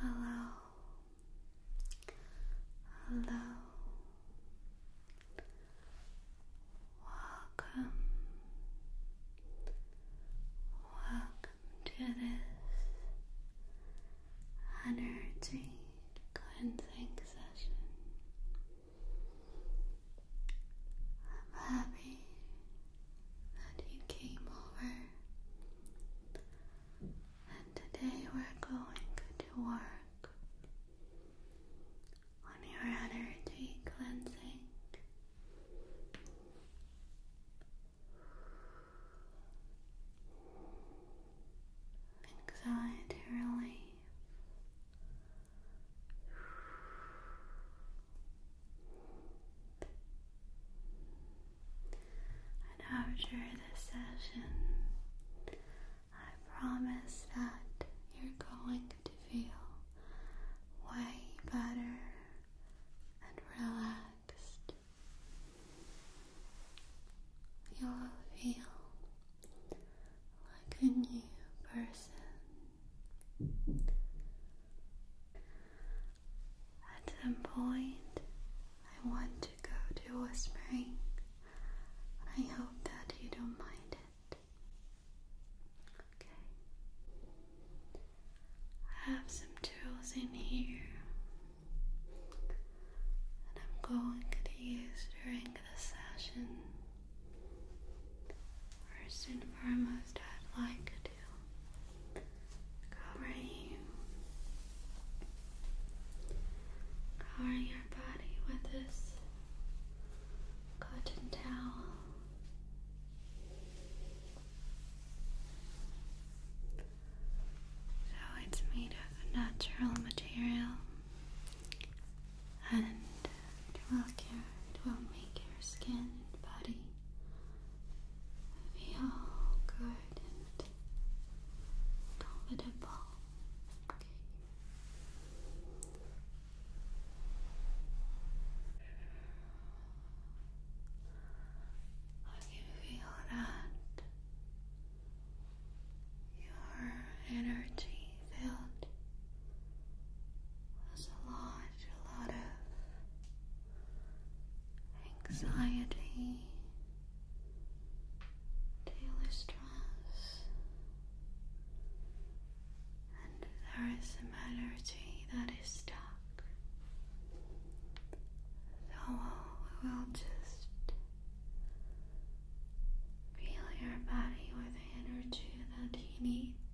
Hello, hello, welcome, welcome to this energy cleansing session. I'm happy that you came over. And today we're going to work on your energy cleansing. Anxiety relief, after this session, I promise that you're going to feel way better and relaxed. You'll feel like a new person. At some point, I want to go to whispering. I hope that you don't mind it. Okay. I have some tools in here that I'm going to use during the session. First and foremost, I'd like to cover you, cover your body with this cotton towel. So it's made of natural material and it will care, it will make your skin and body feel good and comfortable. Okay. I can feel that your energy felt was a large lot of anxiety, daily stress, and there is some energy that is stuck. So we will just feel your body with energy that you need.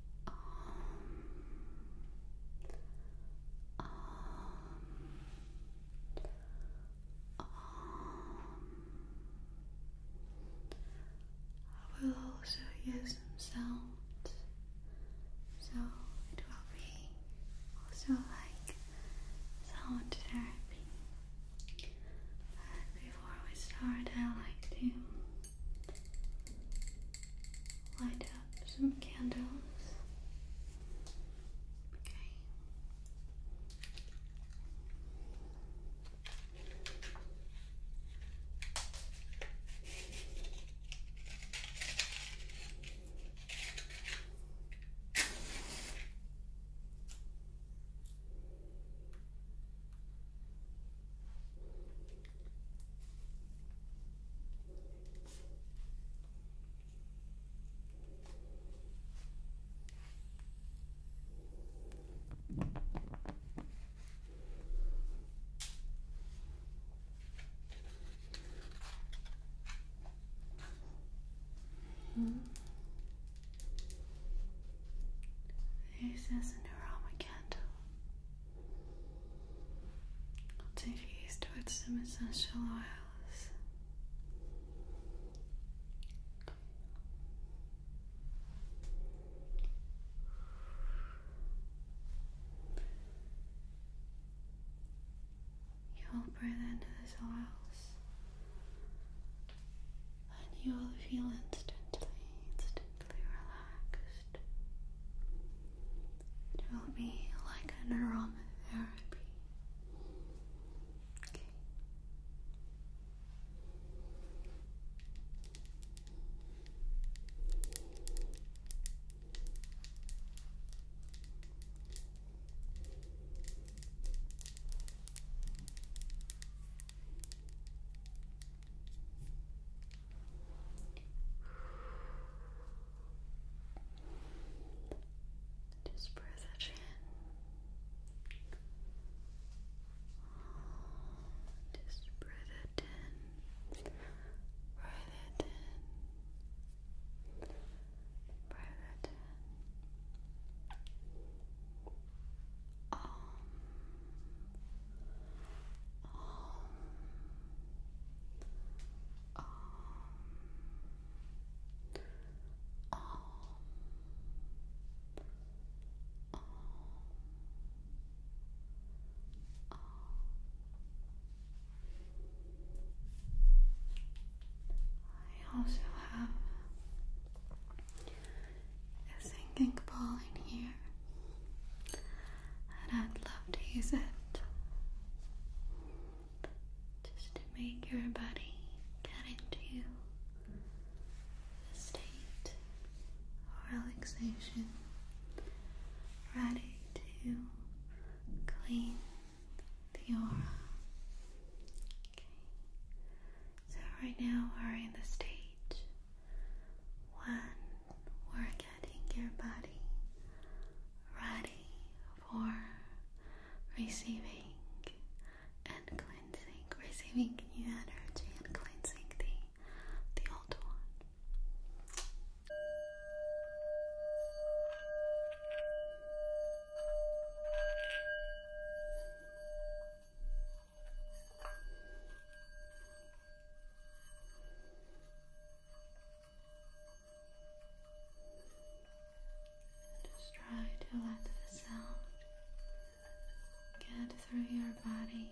Um, um, um, I will also use some sounds, so it will be also like sound therapy. But before we start, I like to light up some candles. Okay. Mm -hmm. This is an aroma candle. I'll take you towards some essential oils. You'll breathe into these oils and you will feel instantly, instantly relaxed. It will be like an aromatherapy. Okay. Just breathe it in. Just breathe it in. Breathe it in. Breathe it in. Om um, I also have a sinking ball in here and I'd love to use it just to make your body get into the state of relaxation, ready to clean the aura. Okay. So right now we're in the stage when we're getting your body ready for receiving and cleansing, receiving new energy and cleansing the, the old one. Just try to let the sound get through your body.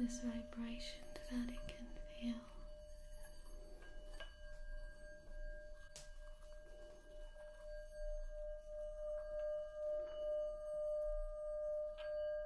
This vibration that it can feel.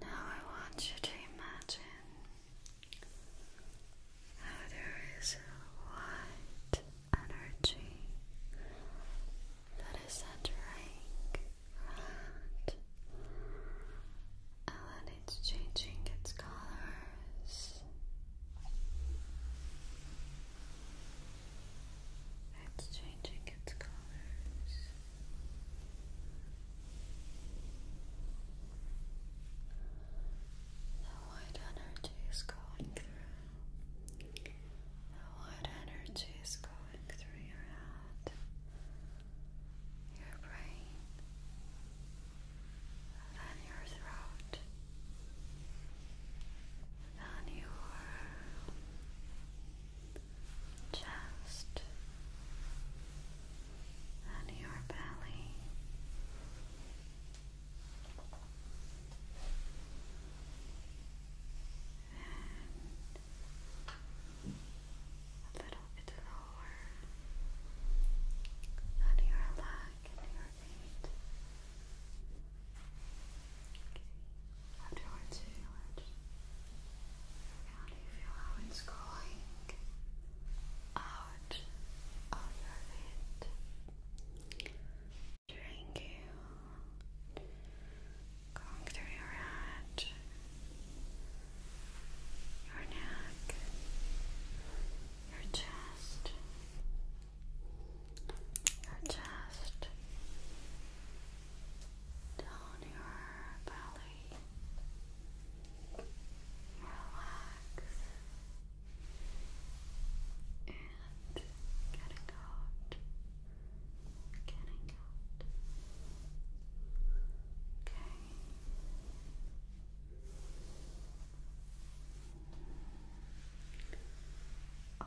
Now I want you to imagine how there is white energy that is entering and it's changing its colors. It's changing its colors. The white energy is going through. The white energy is going through your head, your brain, then your throat, then your chest and your belly. And a little bit lower on your leg and your feet afterwards you do you feel how it's going out of your feet? During going through your head, your neck, your chest, your chest, down your belly. Relax and getting out, getting out. Okay. All oh.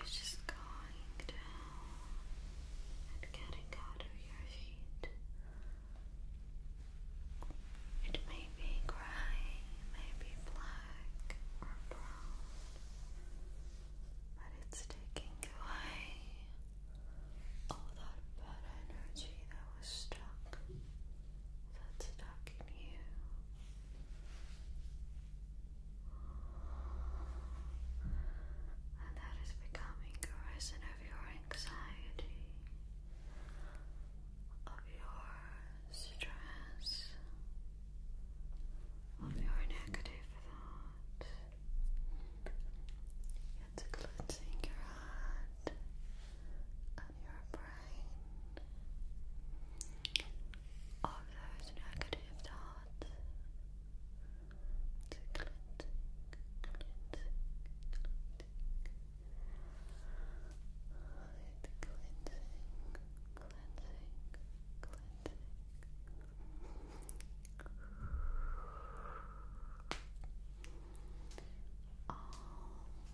It's just going down and getting out your feet. It may be gray, maybe black or brown, but it's taking away all that bad energy that was stuck, that's stuck in you and that is becoming a reason of your anxiety, of your stress, of your negative thoughts. It's cleansing your heart of your those negative thoughts. It's cleansing, cleansing, cleansing. It's cleansing, cleansing, cleansing. All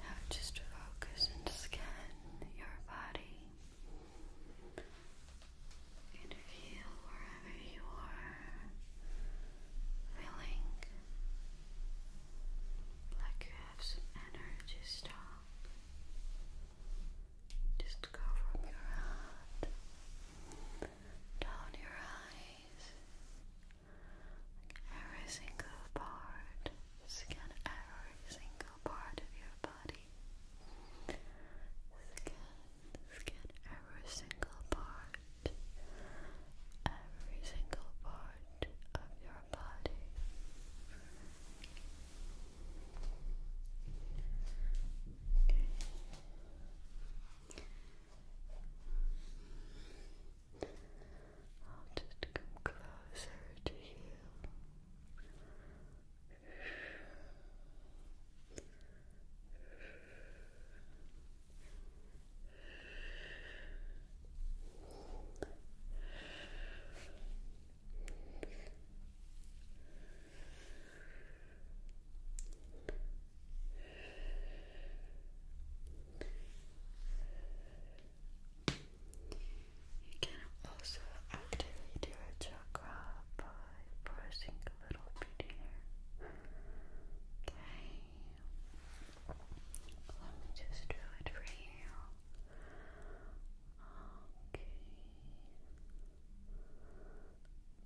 Now just focus and scan your body. You feel wherever you are feeling like you have some energy stock. Just go from your heart down your eyes. Every single part, scan every single part of your body. Scan scan every single part, every single part of your body. I'll just come closer to you. You can also activate your chakra pressing a little bit here. Okay. Let me just do it for you. Okay.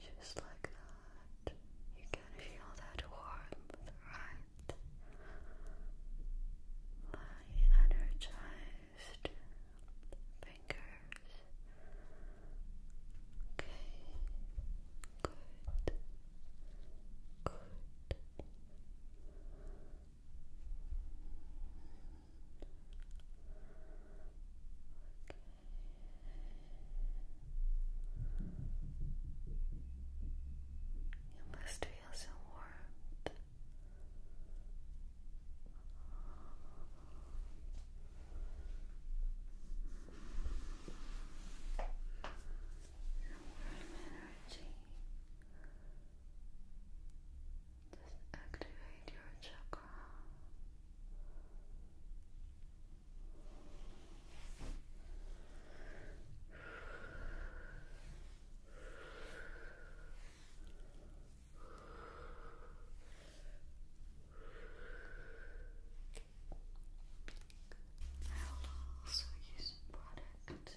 Just like that. You can feel that warmth, right? Very energized, fingers. Okay. Good. Good. Okay. You must feel some warmth warm energy. Just activate your chakra. I will also product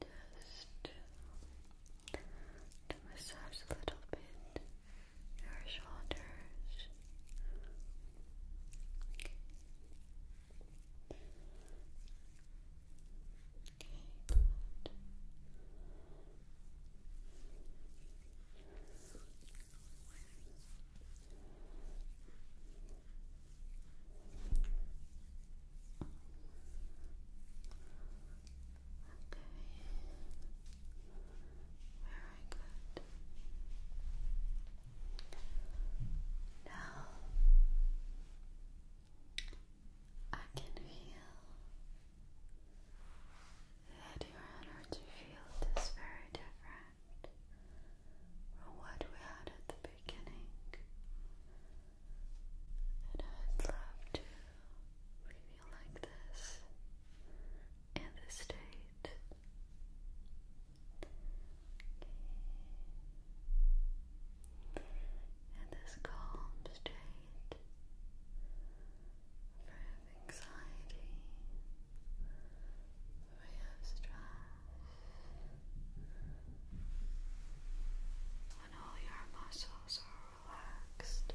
just to massage a little bit your shoulders. Okay. Very good. Now I can feel that your energy field is very different from what we had at the beginning. And I'd love to review like this in this state. In this calm state from anxiety, real stress when all your muscles are relaxed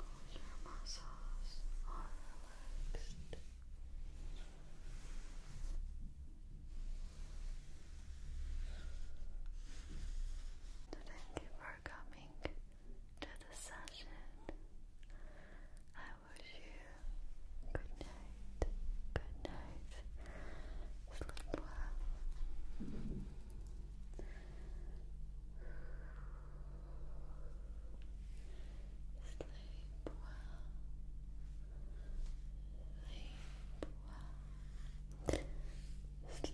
all your muscles are relaxed Thank you for coming to the session wish you good night, good night, sleep well. Sleep well. Sleep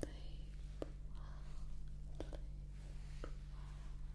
well. Sleep well. Sleep well.